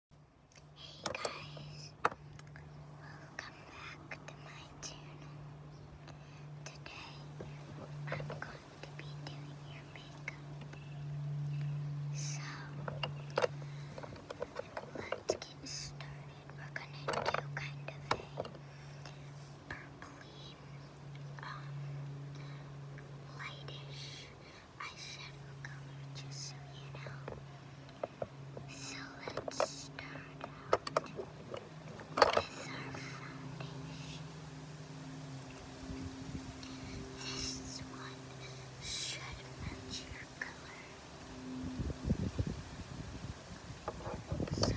Hey guys, welcome back to my channel. Today I'm going to be doing your makeup. So let's get started. We're gonna do kind of a purpley, um, lightish I eyeshadow color, just so you know. So let's start out with our foundation. This one should match your color. So,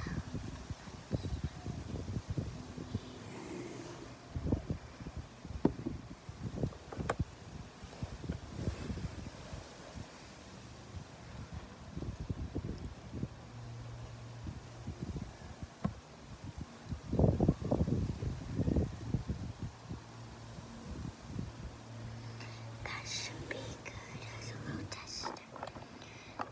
that should be good as a little tester. Now, let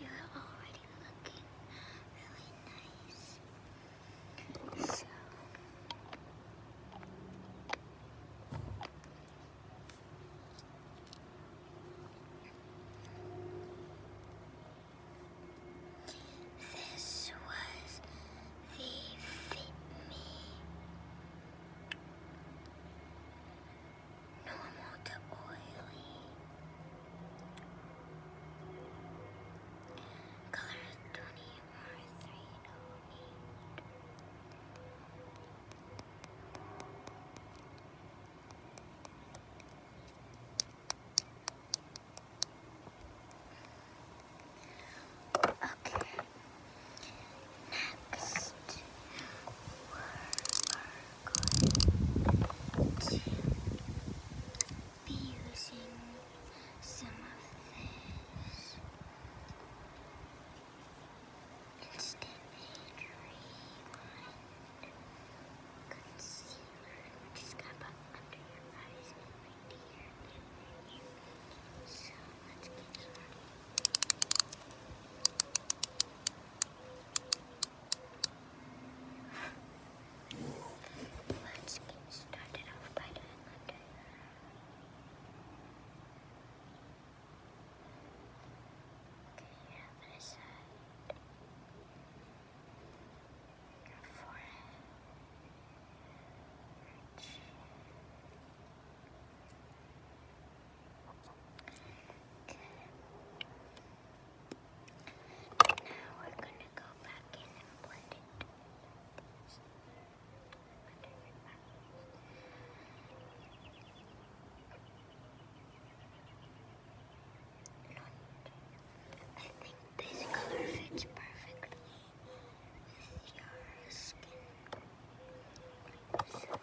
you're already looking really nice. So, this was the Fit Me normal to oily. Colors 20 Okay. Next, we're going to be using some of this instant age rewind concealer. just gonna put under your eyes right here. So let's get started. Let's get started off by doing under. Okay, your forehead. Your chin. Okay. And now we're gonna go back in and blend it. I think this color fits perfectly with your skin next, we are gonna go in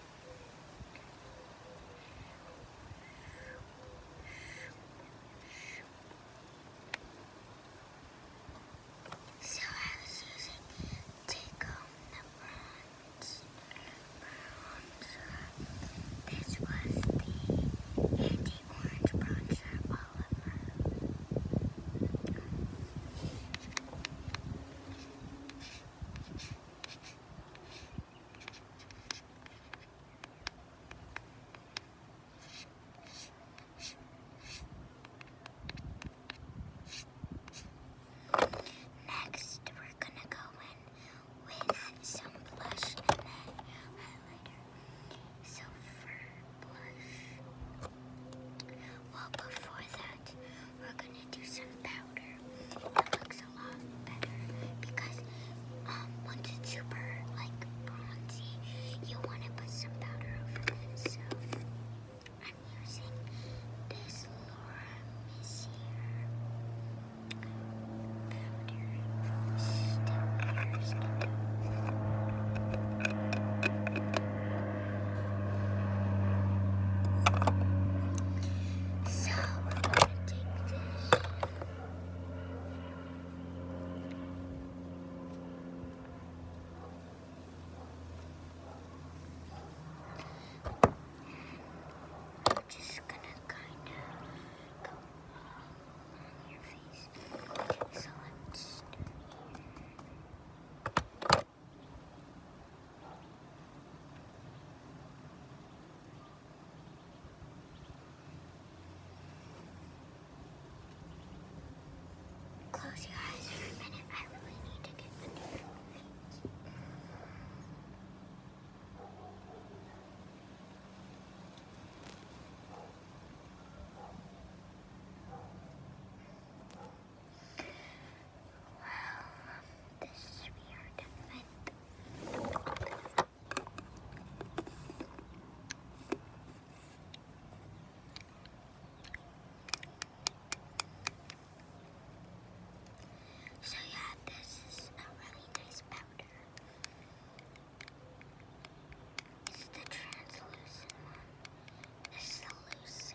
So I was using take the bronzer. This was the anti-orange bronzer Oliver. Next, we're going to go in with some blush and then highlighter. So for blush, well before that, we're gonna do some powder. It looks a lot better because um, once it's super like bronzy, you want to put some powder over this. So I'm using this Laura Messier powder so we're going to take this. I'm just gonna kind of go on your face. so let's Close your eyes for a minute. I really need to get the new things this is So yeah, this is a really nice powder. It's the translucent one. This the loose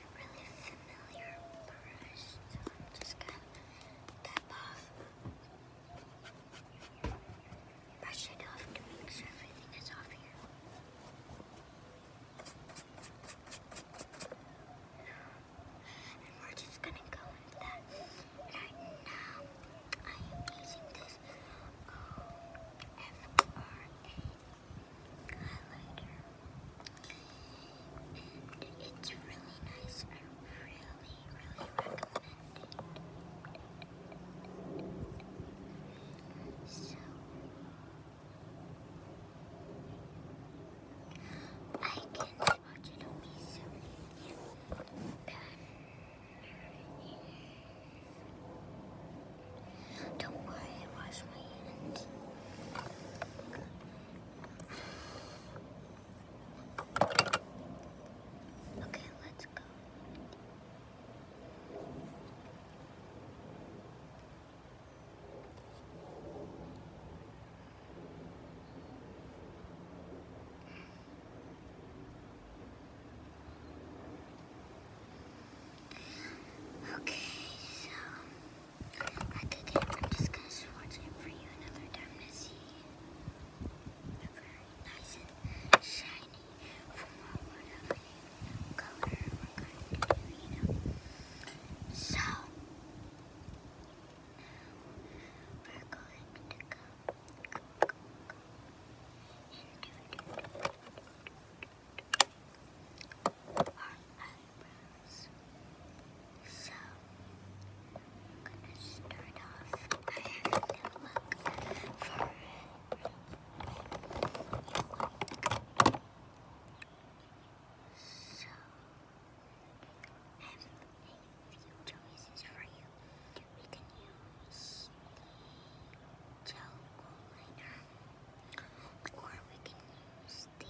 really familiar brush, so I'm just gonna tap off, brush it off to make sure everything is off here. And we're just gonna go with that. Right now, I am using this O um, F R A highlighter. And it's really nice. I really, really recommend it. So, I can watch it on me soon. Banner. Don't worry, it my hand. Okay, let's go. Okay, so at the I'm just gonna swatch it for you another time to very nice and shiny from what whatever color we're going to do, you know. So we're going to go, go, go, go and do, so I'm gonna start off. I had for So I have a few choices for you. We can use the gel liner. Or we can use the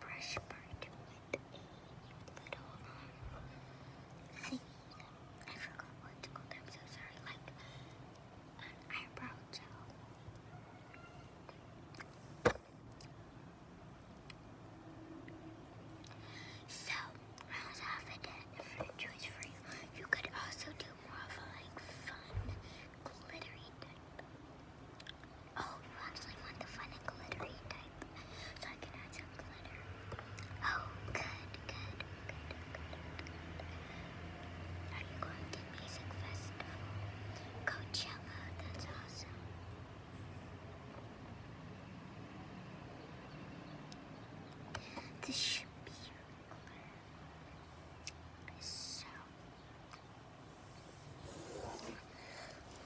brush part with a little um, thing. I forgot what it's called, i so sorry. Like an eyebrow gel. So, rounds off a choice for you. You could also do more of like fun, glittery type. Oh, you actually want the fun and glittery type, so I can add some glitter. Oh, good, good, good, good, Are you going to music festival? Coachella, that's awesome. This should be so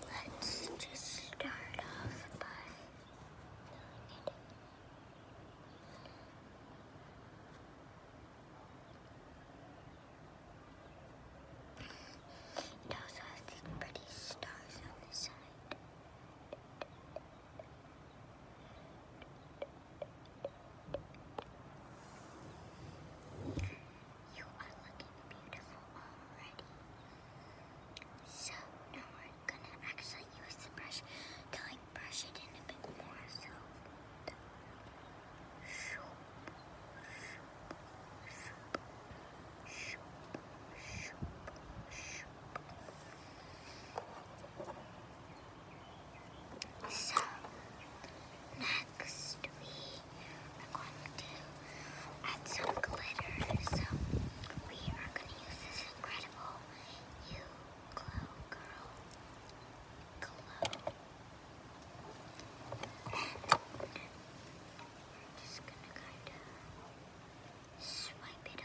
let's just start off by doing It also has these pretty stars on the side. You are looking beautiful already. So now we're gonna actually use the brush to like brush it in a bit more. So. Shoop, shoop, shoop, shoop, shoop, shoop. So, next we are going to add some glitter. So, we are going to use this incredible You Glow Girl Glow. we're just going to kind of swipe it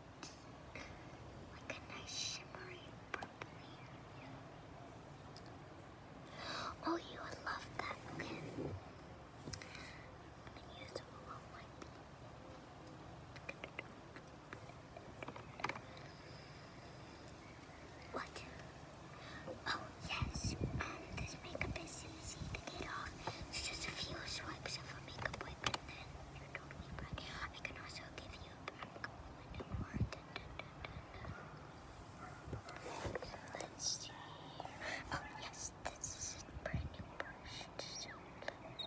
shimmery purpley. Oh, you would love that. What? Oh, yes. Um, this makeup is easy to get off. It's just a few swipes of a makeup wipe and then you're totally bright. I can also give you Let's see. Oh yes, this is a brand new brush. So Let's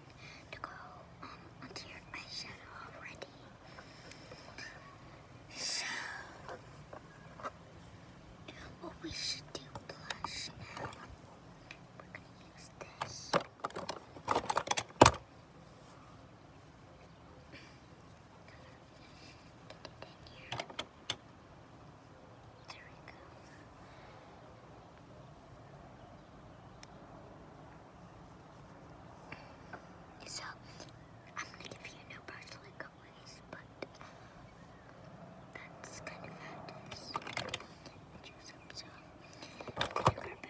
to go um, onto your eyeshadow already. So, what we should do blush now. We're going to use this. There we go. So, I'm gonna give you no personal colors, but that's kind of how you grab a brand new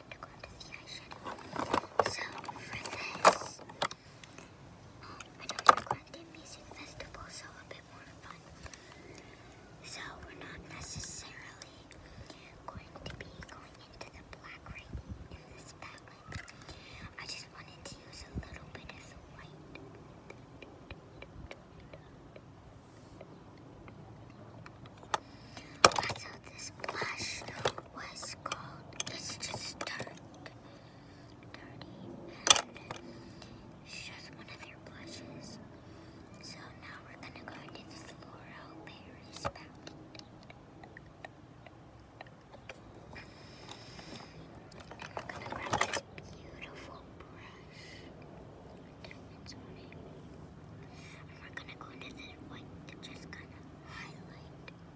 So for this, um, I know we're going to the Music Festival, so a bit more fun. So we're not necessarily going to be going into the black right in this palette. I just wanted to use a little bit of the white. Also, this splash was called. It's just dirt. Dirty. And it's just one of their blushes. So now we're going to go into the Floral Paris palette. And i going to grab this beautiful brush. It's and we're gonna go into this white just kind of highlight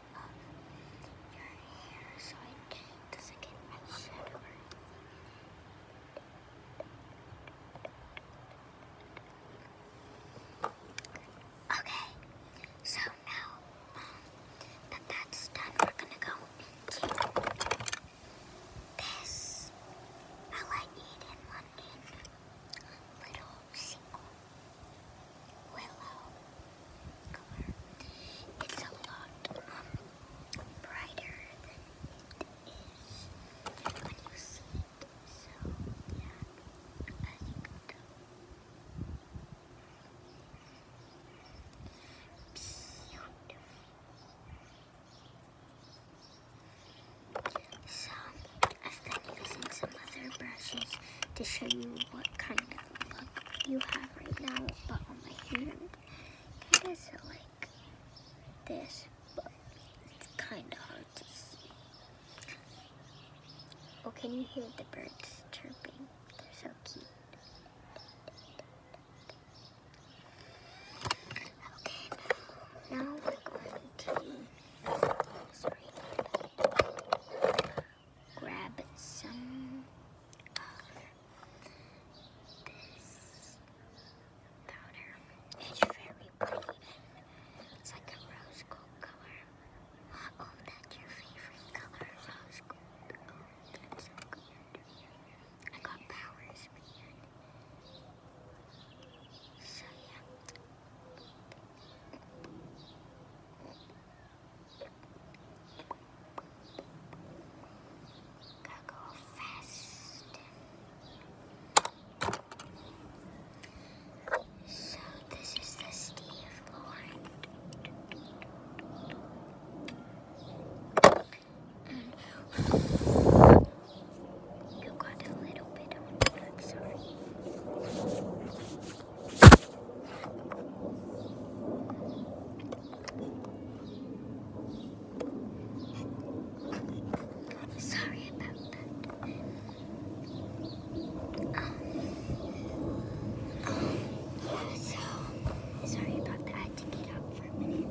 so Okay, so now um, that that's done, we're gonna go into this. I like eating London little willow color. It's a lot um, brighter than it is when you see it. So, yeah, as you can tell. So, I've been using some other brushes to show you what kind of you have right now, but on my hand. Kind like this, but it's kind of hard to see. Oh, can you hear the birds chirping? They're so cute. Okay, now, we're going to grab some of this powder. It's very pretty it's like a rose gold color. Oh, that's your favorite color, rose gold. Oh, that's so good. I got powers, man. So yeah. Gotta go fast. So this is the Steve Lauren. you got a little bit of black, sorry. Sorry about that. Um, um, so, sorry about that. I had to get up for a minute.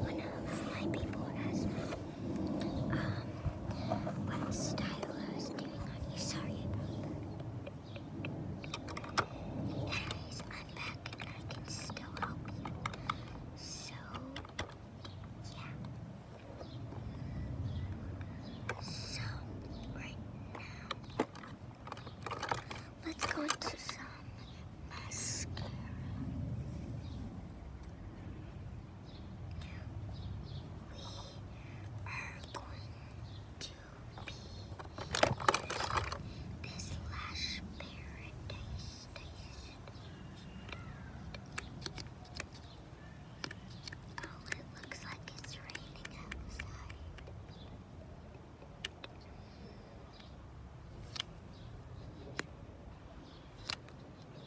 One of my people asked me. Um, what style I was doing on you. Sorry about Anyways, I'm back and I can still help you. So, yeah. So, right now, let's go into some mascara we are going to be using this Lash Paradise Oh, it looks like it's raining outside.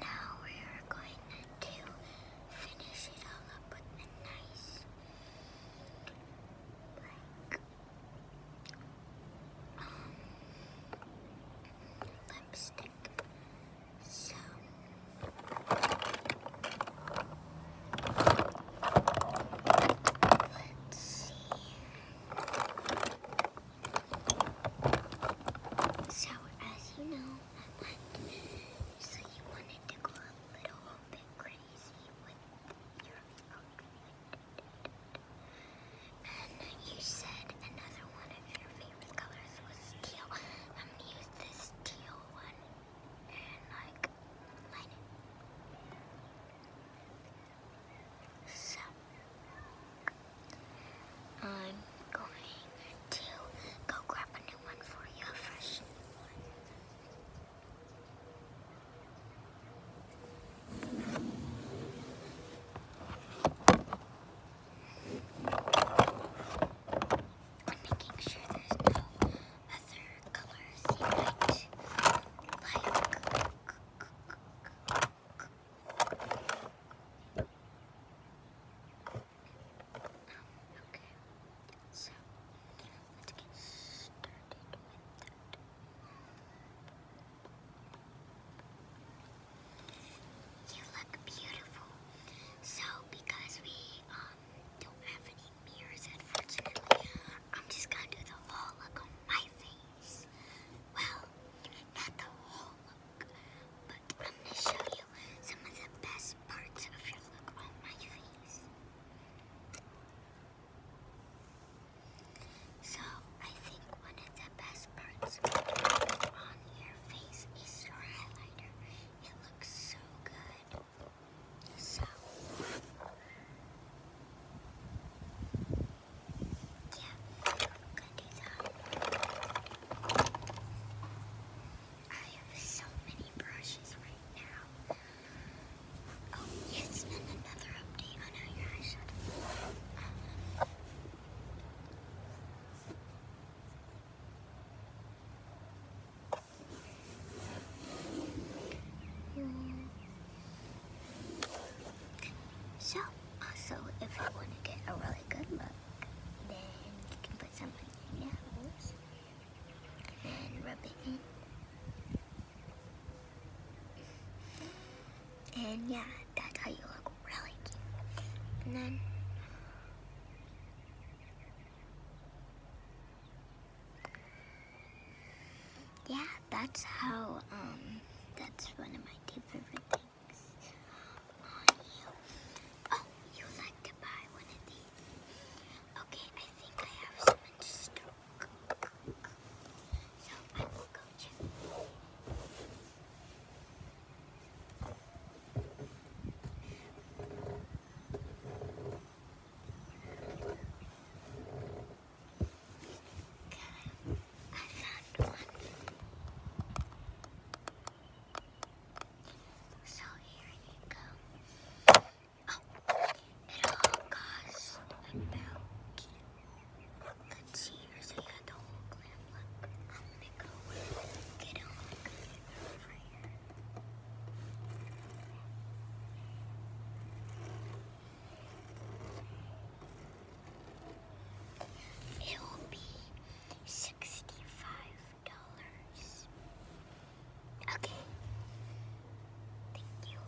Now we are going to finish it all up with a nice, um, lipstick. So. Let's see. So as you know, I went, so you wanted to go a little bit crazy with your outfit. And you said another one of your favorite colors was teal. I'm gonna use this teal one and like light it. So, I'm going to go grab a new one for you, a I'm making sure there's no other colors you like. You look beautiful. So because we um, don't have any mirrors unfortunately, I'm just gonna do the whole look on my face. Well, not the whole look, but I'm going to show you some of the best parts of your look on my face. So, I think one of the best parts on your face is your highlighter. It looks so good. So, yeah, gonna do that. I have so many brushes right now. Oh, yes, another update on how your eyeshadow. Um, so, also, if you want to get a really good look, then you can put some in your nose and rub it in. And yeah, that's how you look really cute. And then yeah, that's how, um, that's one of my two favorite things Oh, you like to buy one of these. Okay, I think I have some in stock. So I will go check. I found one. So here you go. Oh, it all cost about. Let's see the whole clam. Look, I'm gonna go get on over here. It will be sixty-five dollars. Okay. Thank you.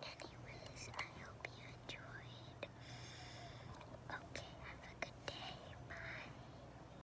Anyways, I hope you enjoyed. Okay, have a good day. Bye.